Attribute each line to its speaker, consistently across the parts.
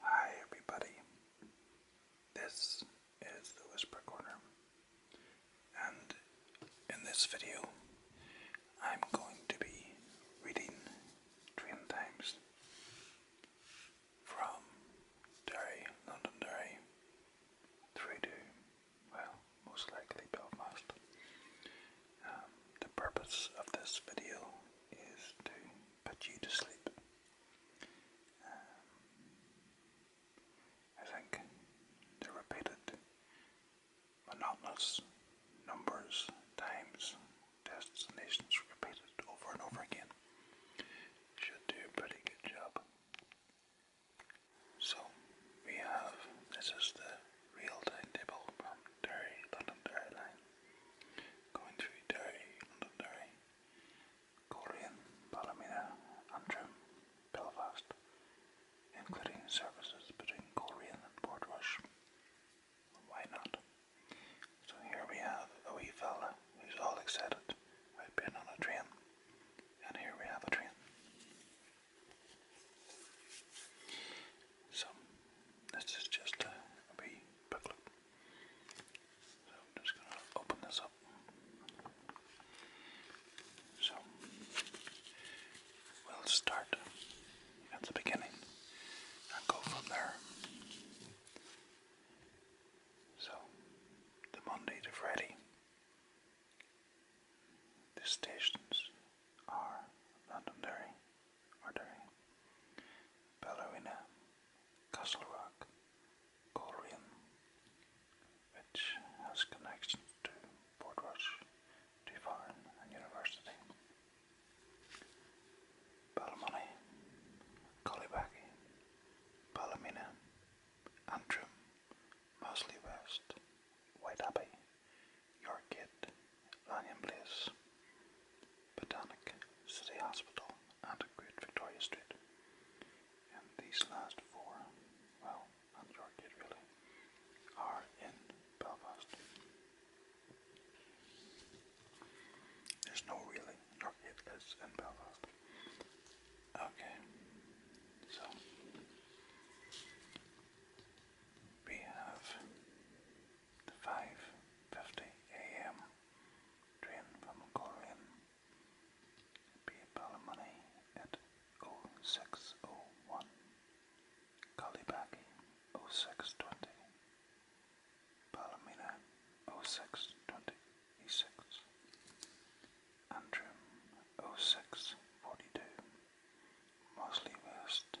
Speaker 1: Hi everybody, this is the Whisper Corner, and in this video I'm going to be reading Train Times from Derry, London Derry, three to, well, most likely Belfast. Um, the purpose of this video is to put you to sleep. Um, I think the repeated monotonous numbers, times, destinations repeated over and over again should do a pretty good job. So we have, this is the real timetable from Derry, London Derry Going through Derry, Londonderry, Corian, Ballymena, Antrim, Belfast, including services between Corian and Portrush. Why not? So here we have a wee fella who's all excited about being on a train, and here we have a train. So this is just a, a wee booklet. So I'm just going to open this up. So we'll start at the beginning and go from there. So the Monday to Friday, the stations are Londonderry, Ordering. Ballerina, Castle Rock, Colrian, which has connections to Port Rush, and University. Balmoney, Collibaki, Palomina, Antrim, Mosley White Abbey, Yorkgate, Lanyon Place, Botanic City Hospital, and Great Victoria Street. And these last four, well, and Yorkgate really, are in Belfast. There's no really, Yorkgate is in Belfast. Okay, so we have 5.50 a.m. train from Coleraine. PayPal money at 0601. Kalibaki 0620. Palomina 0626. Antrim 0642. Mosley West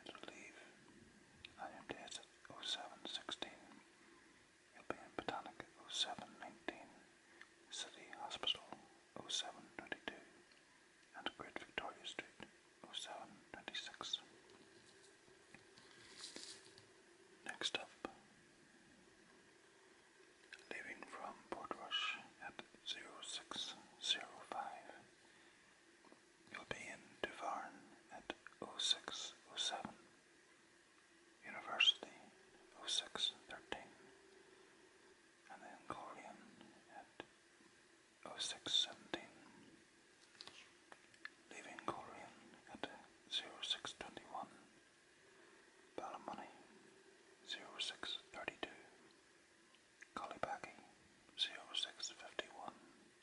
Speaker 1: It'll leave IMDS at 0716. You'll be in Botanic 0719, City Hospital 0722, and Great Victoria Street 0726. Next up, leaving from Portrush at 0605. You'll be in Devarn at 0607, University 0613, and then Glorian at 0617, leaving Glorian at 0621, Ballymoney 0632, Collybackie 0651.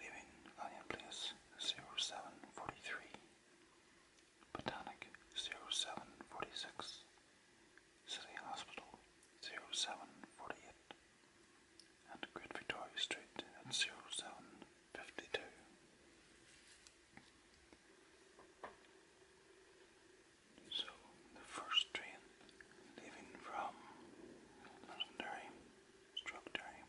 Speaker 1: leaving Italian Place 0743, Botanic 0746, City Hospital 0748, and Great Victoria Street at 0752. So, the first train leaving from Londonderry, Stroketerry,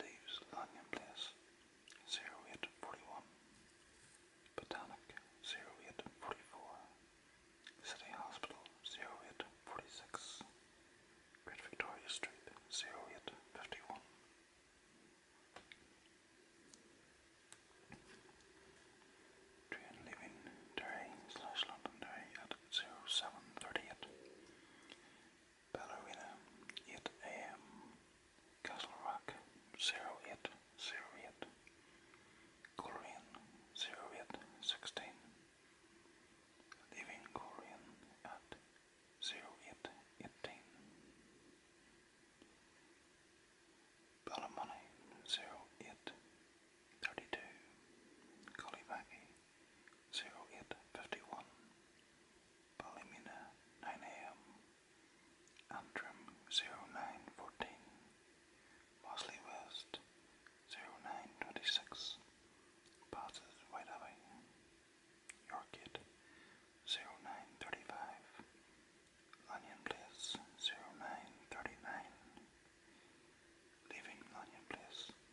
Speaker 1: Leaves lying place 0841. Botanic 0844. City Hospital 0846. Great Victoria Street 0851. Train leaving Derry slash Londonderry at 0738. Ballerina 8 AM, Castle Rock 0808, 08, Korean 0816, Leaving Korean at 0818, Ballermoney 0832, Colibaki 0851, Ballymena 9am, Antrim 0914, Mosley West 0926, Passes White Abbey, Yorkgate 0935, Lanyon Place 0939, Leaving Lanyon Place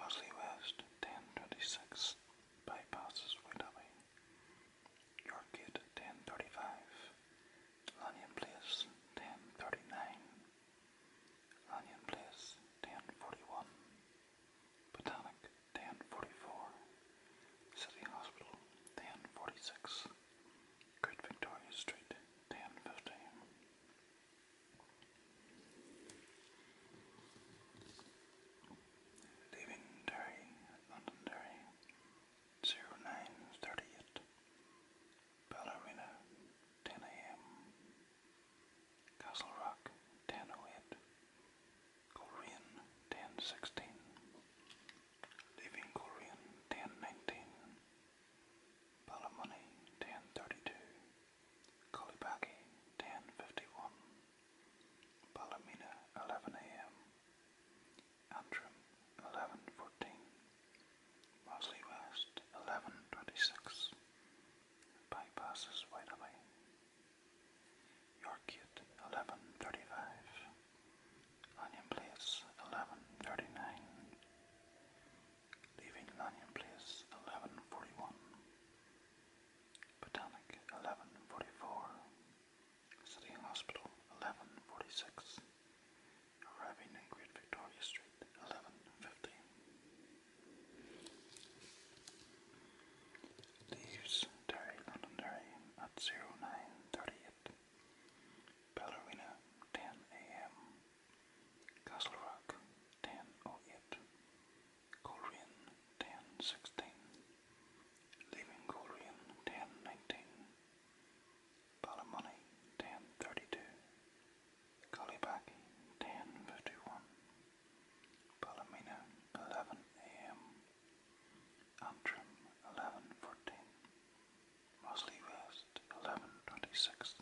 Speaker 1: mostly west, 1026 bypasses Whitehall. York Gate, 1035. Lanyon Place, 1039. Lanyon Place, 1041. Botanic, 1044. City Hospital, 1046. Great Victoria Street, 1015. Leaving Derry, London Derry, 0938, Ballerina, 10am, Castle Rock, 1008, Coleraine, 1016, leaving Coleraine, 1019, Ballymoney, 1032, Kolibaki, 10.51. Palomina, 11 a.m. Antrim, 11.14. Mosley West, 11.26. Bypasses Whiteley. Yorkgate, 11.35. Lanyon Place, 11.39. Leaving Lanyon Place, 11.41. Botanic, 1144. City Hospital, 1146. Arriving in Great Victoria Street, 1150. Leaves Derry, at 0938. Ballerina, 10 a.m. Castle Rock, 10.08. Korean ten sixteen, Leaving Korean ten nineteen, Palamani ten thirty two, Kalibaki ten fifty one, Palamina eleven a.m., Antrim eleven fourteen, Mosley West eleven twenty six,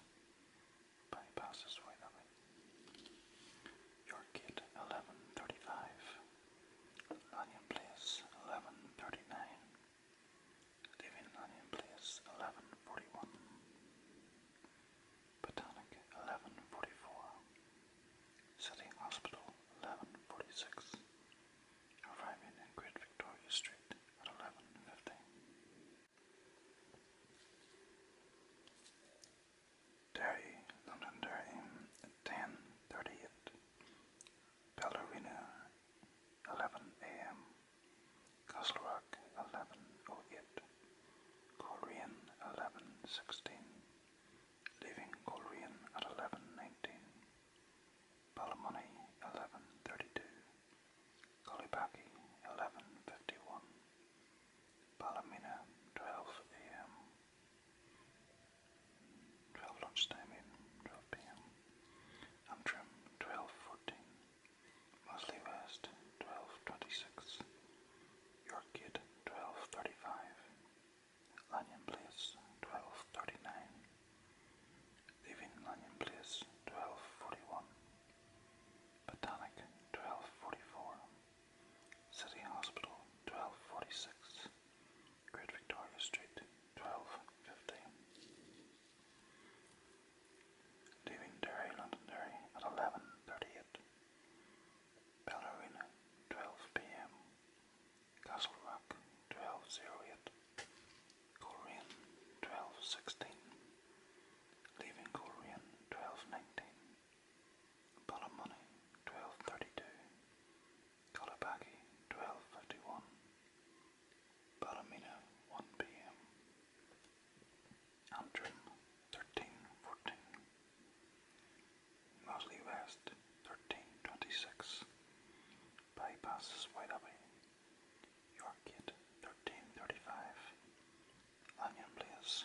Speaker 1: Buddy passes that way. Your Gate, 1135. Lanyon Place, 1139. Leaving Lanyon Place, 1141. Botanic, 1144. City Hospital, 1146. Arriving in Great Victoria Street at 1150. Derry, London Derry, 10.38, Ballerina, 11 a.m., Castle Rock, 11.08, Coleraine, 11.16, leaving Coleraine at 11.19, Ballymoney, 11.32, Collybaki, 11.51, Palomina, 12 a.m. 12 lunchtime in, 12 p.m. Antrim, 12.14. Mosley West, 12.26. York 12.35. Lanyon Place, 12.39. Leaving Lanyon Place, 12.41. Botanic, 12.44. City Hospital, 1246, Great Victoria Street, 1250. Leaving Derry, Londonderry at 11.38. Ballerina, 12 p.m. Castle Rock, 12.08. Coleraine, 12.16. Leaving Coleraine, 12.19. Palamoney, twelve thirty two, Kalabaki, twelve fifty one, Baramina, one PM, Antrim, thirteen fourteen, Mosley West, thirteen twenty six, bypasses White Abbey, thirteen thirty five, Lanyon Place,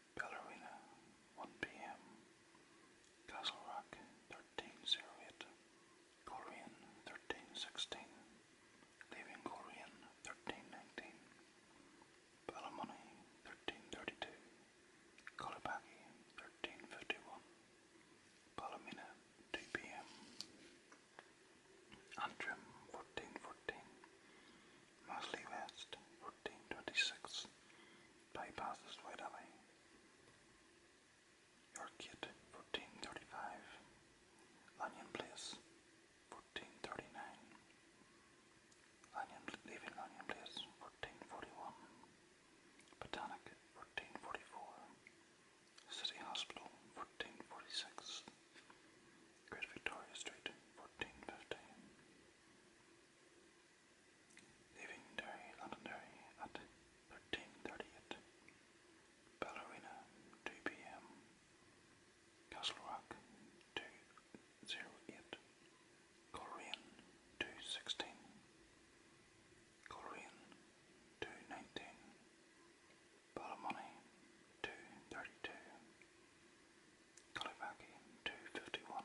Speaker 1: Ballerina, 1 p.m. Castle Rock, 1308. Korean, 1316. Leaving Korean, 1319. Ballymoney, 1332. Colibaki, 1351. Palomina, 2 p.m. Antrim, 1414. Masley West, 1426. Bypasses White Alley, Yorkit, fourteen thirty-five. Lanyon Place, fourteen thirty-nine. Lanyon leaving Lanyon Place, fourteen forty-one. Botanic, fourteen forty-four. City Hospital, fourteen forty-six. Great Victoria Street, fourteen fifteen leaving Derry, Londonderry at 13.38, Ballerina 2pm, Castle Rock 2.08, Coleraine 2.16, Coleraine 2.19, Ballymoney 2.32, Kalivaki 2.51,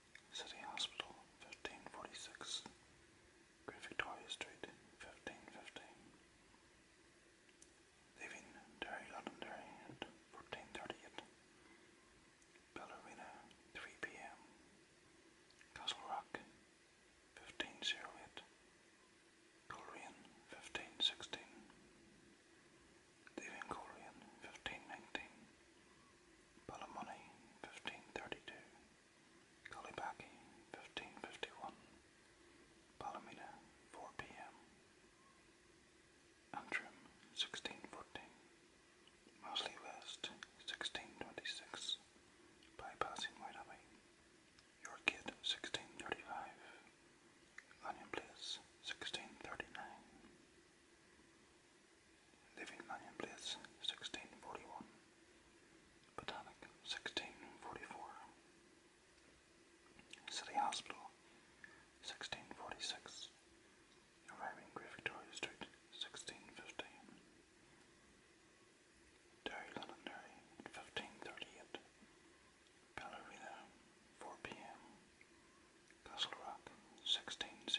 Speaker 1: City Hospital, 1546. Queen Victoria Street, 1515. Leaving Derry Londonderry at 1438. Ballerina, 3 p.m. Castle Rock, 1508. Coleraine, 1516. Leaving Coleraine, 1519. Ballymoney, 1532. Kalibaki, 1551. Palomina, 4 p.m. Antrim, 1614. Mosley West, 1626. Bypassing White Abbey. Your Kid, 1635. Lanyon Place, 1639. Living Place, 1641. Botanic, 1644. City Hospital, 1646. Arriving Great Victoria Street, 1615. Derry Londonderry, 1538. Ballerina, 4 p.m. Castle Rock, 1608.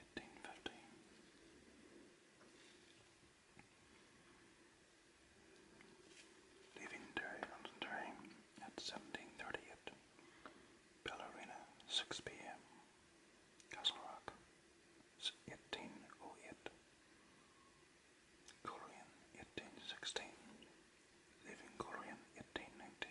Speaker 1: eighteen fifty. Leaving Derry, London Derry at 17.38, Ballerina, 6pm, Castle Rock, 18.08, Coleraine, 18.16, leaving Coleraine, 18.19,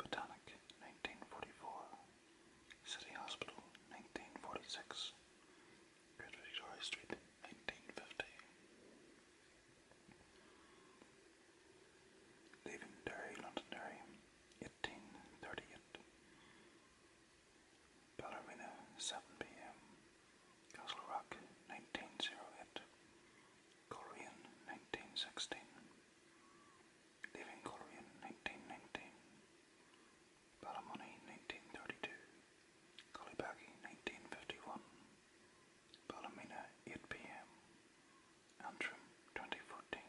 Speaker 1: Botanic, 1944. City Hospital, 1946. Great Victoria Street, 1950. Leaving Derry, Londonderry, 1838. Ballerina, 7 p.m. Castle Rock, 1908. Korean, 1916 leaving Coleraine 1919, Ballymoney 1932, Collybaggy 1951, Ballymena 8pm, Antrim 2014,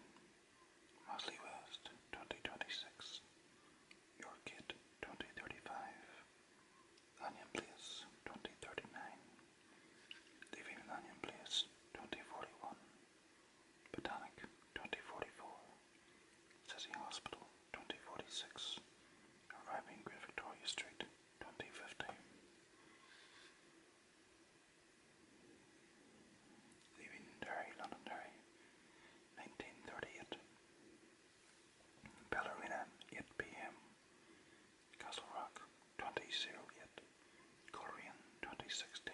Speaker 1: Mosley 2026, Yorkgate 2035, Lanyon Place 2039, leaving Lanyon Place 2041. Botanic 2044, City Hospital 2046, arriving Great Victoria Street 2015. Leaving Derry, Londonderry 1938, Ballerina 8 pm, Castle Rock 2008, Korean 2016.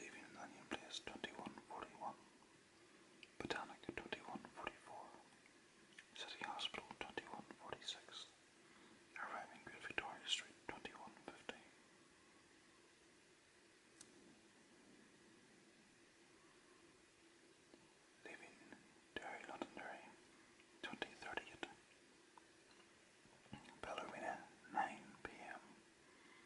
Speaker 1: leaving in place 2141, Botanic 2144, City Hospital 2146, arriving Great Victoria Street 2150. Leaving Derry Londonderry 2038, Bellarmina 9 pm,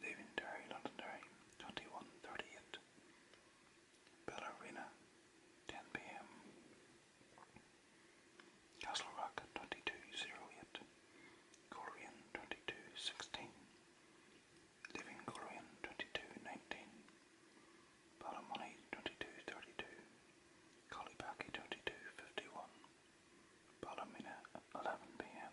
Speaker 1: Leventary, Londonderry, 2138. Ballerina, 10 pm. Castle Rock, 2208. Gorian, 2216. Living Gorian, 2219. Ballymoney, 2232. Collybaki, 2251. Ballymena, 11 pm.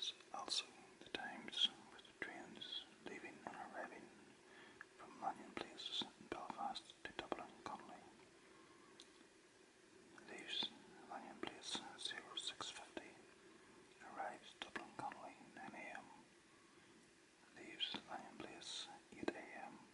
Speaker 1: So also, the times with trains leaving and arriving from Lanyon Place in Belfast to Dublin Connolly. Leaves Lanyon Place 0650, arrives Dublin Connolly 9am. Leaves Lanyon Place 8am.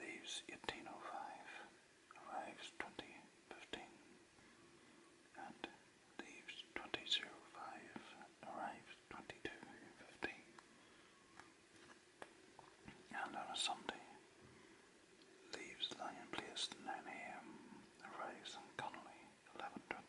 Speaker 1: leaves 1805, arrives 2015, and leaves 2005, arrives 2215. And on a Sunday, leaves Lion Place 9am, arrives in Connolly 1120.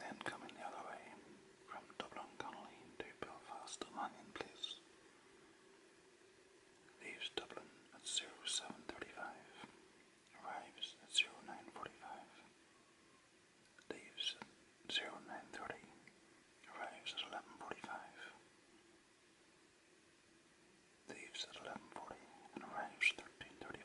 Speaker 1: Then coming the other way from Dublin Connolly to Belfast Lanyon Place. Leaves Dublin at 0735. Arrives at 0945. Leaves at Arrives at 1145. Leaves at 1140 and arrives at 1335.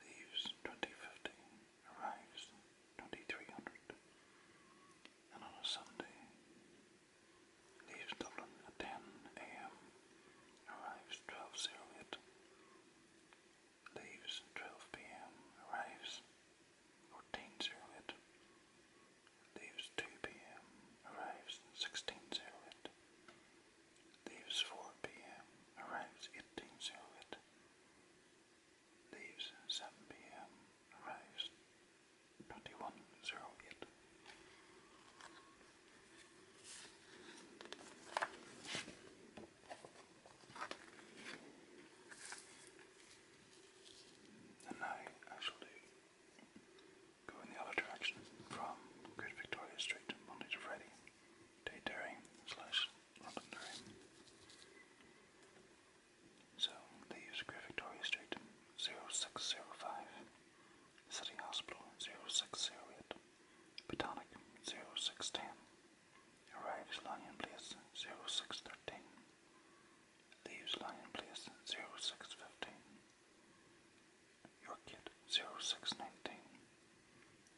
Speaker 1: leaves 2050, arrives 2300, and on a Sunday leaves Dublin at 10 a.m., arrives 1208, leaves 12 p.m., arrives 1408, leaves 2 p.m., arrives 1608. Leaves 4 p.m., arrives 1808. Leaves 7 pm, arrives 2108. And now I shall go in the other direction from Great Victoria Street Monday to Friday. Daydere slash Londonderry. So they use Great Victoria Street 0605, City Hospital 0608, Botanic 0610, arrives Lanyon Place 0613, leaves Lanyon Place 0615, York Gate 0619,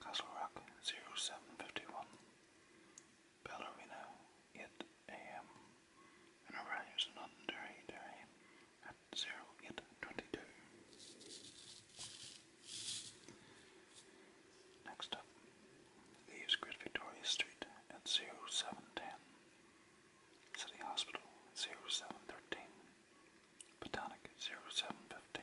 Speaker 1: Castle Rock 0751, Bellarino 8am, arrives in Londonderry at 0822. Next up, leaves Victoria Street at 0710, City Hospital 0713, Botanic 0715,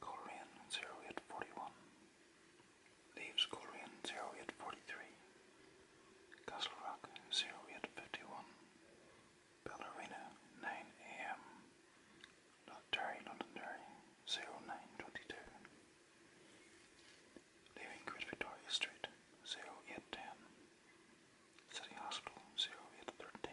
Speaker 1: Corian 0 at 41. Leaves Corian 0 at 43. Castle Rock 0 at 51. Ballerina 9 a.m. Londonderry Londonderry 0922. Leaving Great Victoria Street 0 at 10. City Hospital 0 at 13.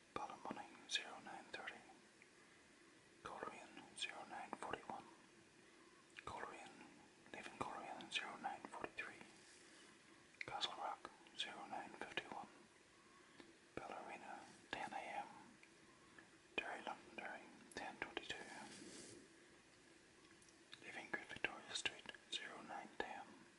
Speaker 1: Palamoni 0930, Corian 0941, Corian, Living Corian 0943, Castle Rock 0951, Ballerina 10am, Derry Londonderry 1022, Living Good Victoria Street 0910,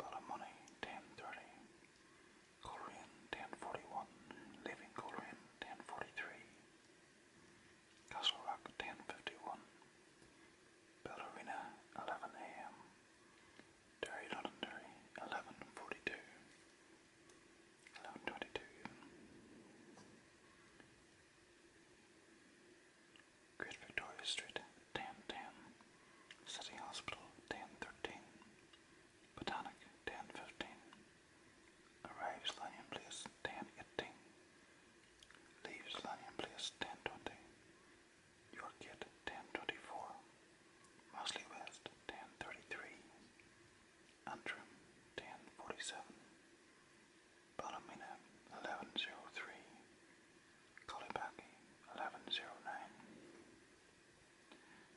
Speaker 1: Palamoni 1030, Coleraine 1041, Living Coleraine 1043, Castle Rock 1051, Bellarina 11 a.m., Derry Londonderry 1142, Great Victoria Street, Tan Tan. City Hospital, ten thirteen. 13. Botanic, Tan Arrives Lanyon Place, Tan 18. Leaves Lanyon Place, Tan York Gate, Tan Mosley West, ten thirty-three. 33. Antrim, Tan 47. 1103. Kalibaki, 1109.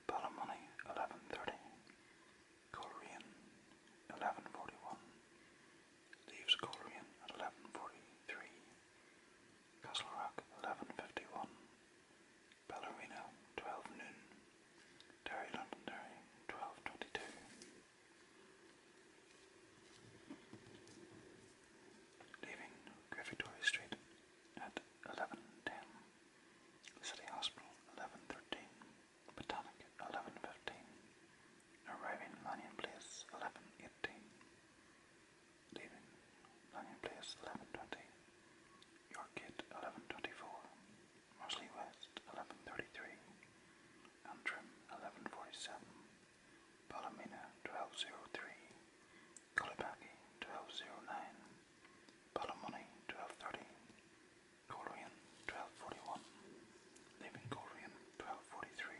Speaker 1: Palamoni, 1130. Coleraine, 1141. Leaves Coleraine at 1143. Castlerock, 1151. Ballerina, 12 noon. Derry Londonderry, 1222 leaving Victoria Street at 11.10, City Hospital 11.13, Botanic 11.15, arriving Lanyon Place 11.18, leaving Lanyon Place 11.20, York Gate 11.24, Mosley West 11.33, Antrim 11.47, Palomina 1203, Kulibaki 1209, Palomoni 1230, Corian 1241, Leaving Corian 1243,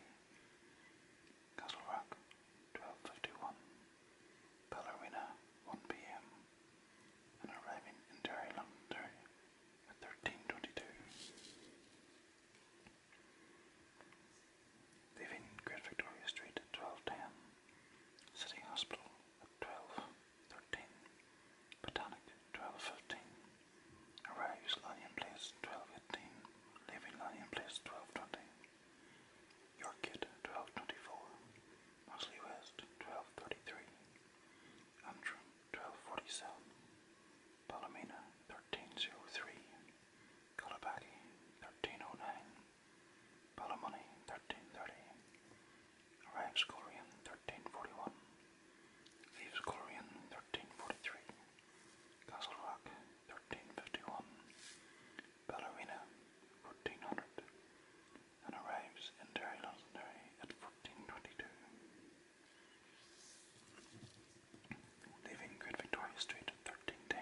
Speaker 1: Castle Rock 1251, Ballerina 1 pm, and arriving in Derry, London, at 1322. Leaving Great Victoria Street at 12.10, City Hospital at 12.13, Botanic at 12.15, arrives Lanyon Place at 12.18, leaving Lanyon Place 12.20, Yorkgate 12.24, Mosley West 12.33, Antrim 12.47, Palomina 13.03, Cotopaxi, 1309. Palamoni, 1330. Rags Corian, 1341. Leaves Corian, 1343. Castle Rock, 1351. Ballerina, 1400. And arrives in Derry Londonderry at 1422. Leaving Great Victoria Street at 1310.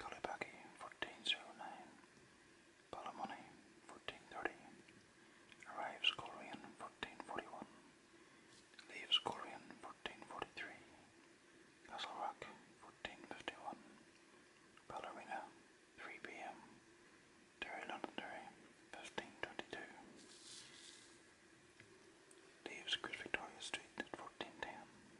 Speaker 1: Kalibaki, 1409. Palamoni, 1430. Arrives Corian, 1441. Leaves Corian, 1443. Castle Rock, 1451. Ballerina, 3 p.m. Terry Londonderry, 1522. Leaves Queen Victoria Street at 1410.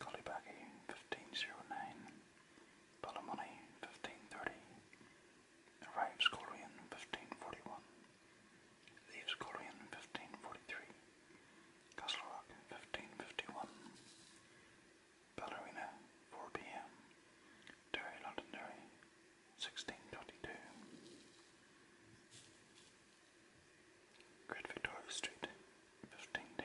Speaker 1: Kalibaki, 1509. Palamoni, 1530. Arrives Corian, 1541. Leaves Corian, 1543. Castle Rock, 1551. Ballerina, 4 p.m. Derry Londonderry, 1622. Great Victoria Street, 1510.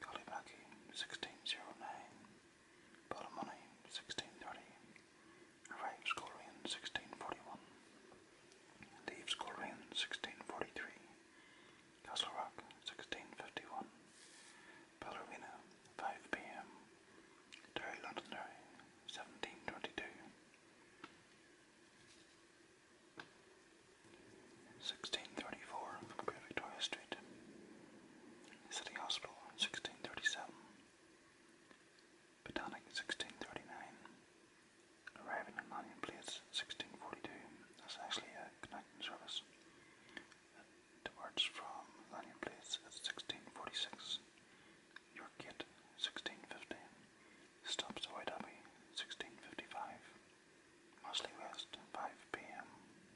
Speaker 1: Kalibaki, 1609, Palamoni, 1630, arrives Korean, 1641, leaves Korean, 1643, Castle Rock, 1651, Ballerina, 5 p.m., Derry Londonderry, 1722, 1634 from Great Victoria Street. City Hospital, 1637. Botanic, 1639. Arriving at Manion Place, 1642. That's actually a connecting service. departs from Manion Place at 1646. York Gate, 1650. Stops to White 1655. Mostly West, 5 p.m.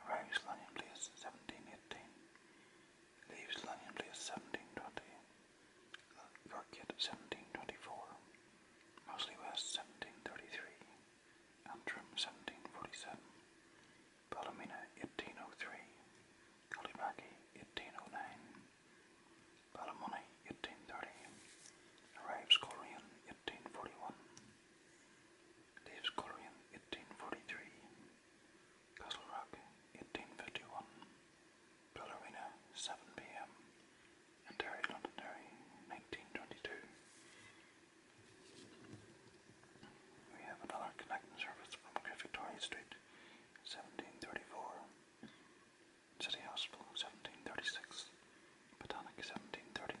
Speaker 1: Arrives Lanyon Place, 1718. Leaves Lanyon Place, 1720. Yorkgate 1724. Mosley West 1733. Antrim 1747. Ballymena 1803. Cullybacky 1809. Ballymoney 1830. Arrives Coleraine 1841. Dave's Korean, 1843. Castle Rock, 1851. Ballerina, 7 pm. And Terry Londonderry, 1922. We have another connecting service from Victoria Street, 1734. City Hospital, 1736. Botanic, 1739.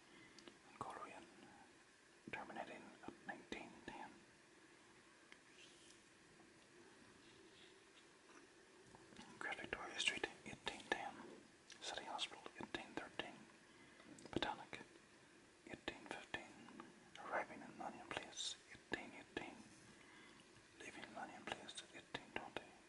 Speaker 1: and Korean, terminating at 1910. Great Victoria Street, 1810. City Hospital, 1813. Botanic, 1815. Arriving in Lanyon Place, 1818. Leaving Lanyon Place, 1820.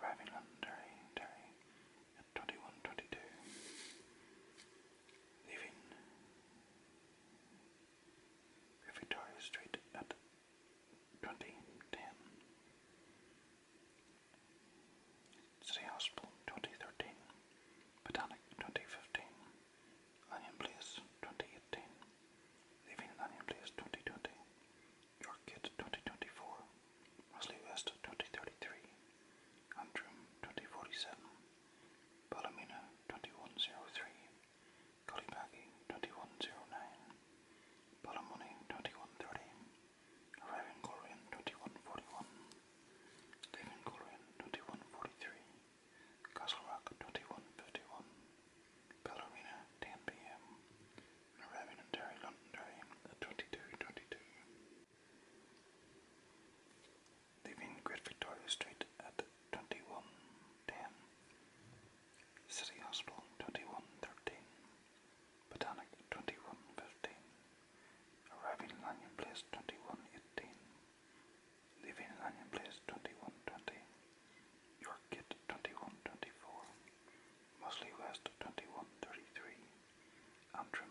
Speaker 1: arriving on Derry, at 21.22, leaving Victoria Street at 2010. City Hospital 2013, Botanic 2015, Lanyon Place 2018, leaving Lanyon Place 2020, York 2024, Mosley West 2033, Antrim 2047, Ballymena 2103, Collybaggy 2109, Ballymoney 2130, Arriving Coleraine 2141, Leaving Coleraine 2143, Castle Rock 2151, Bellarina 10 pm, arriving in Derry, Londonderry 2222. Living in Great Victoria Street at 2110, City Hospital 2113, Botanic 2115, arriving in Lanyon Place 2118, Living in Lanyon Place 2120, York Gate 2124, Mosley West 2133, Antrim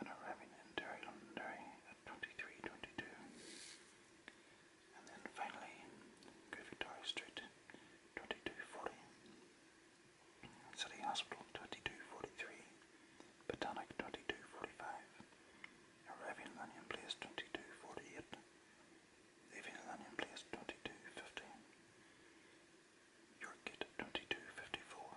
Speaker 1: and arriving in Derry, Londonderry at 23.22. And then finally, go Victoria Street, 22.40. City Hospital, 22.43. Botanic, 22.45. Arriving Lanyon Place, 22.48. Leaving Lanyon Place, 22.50. York Gate, 22.54.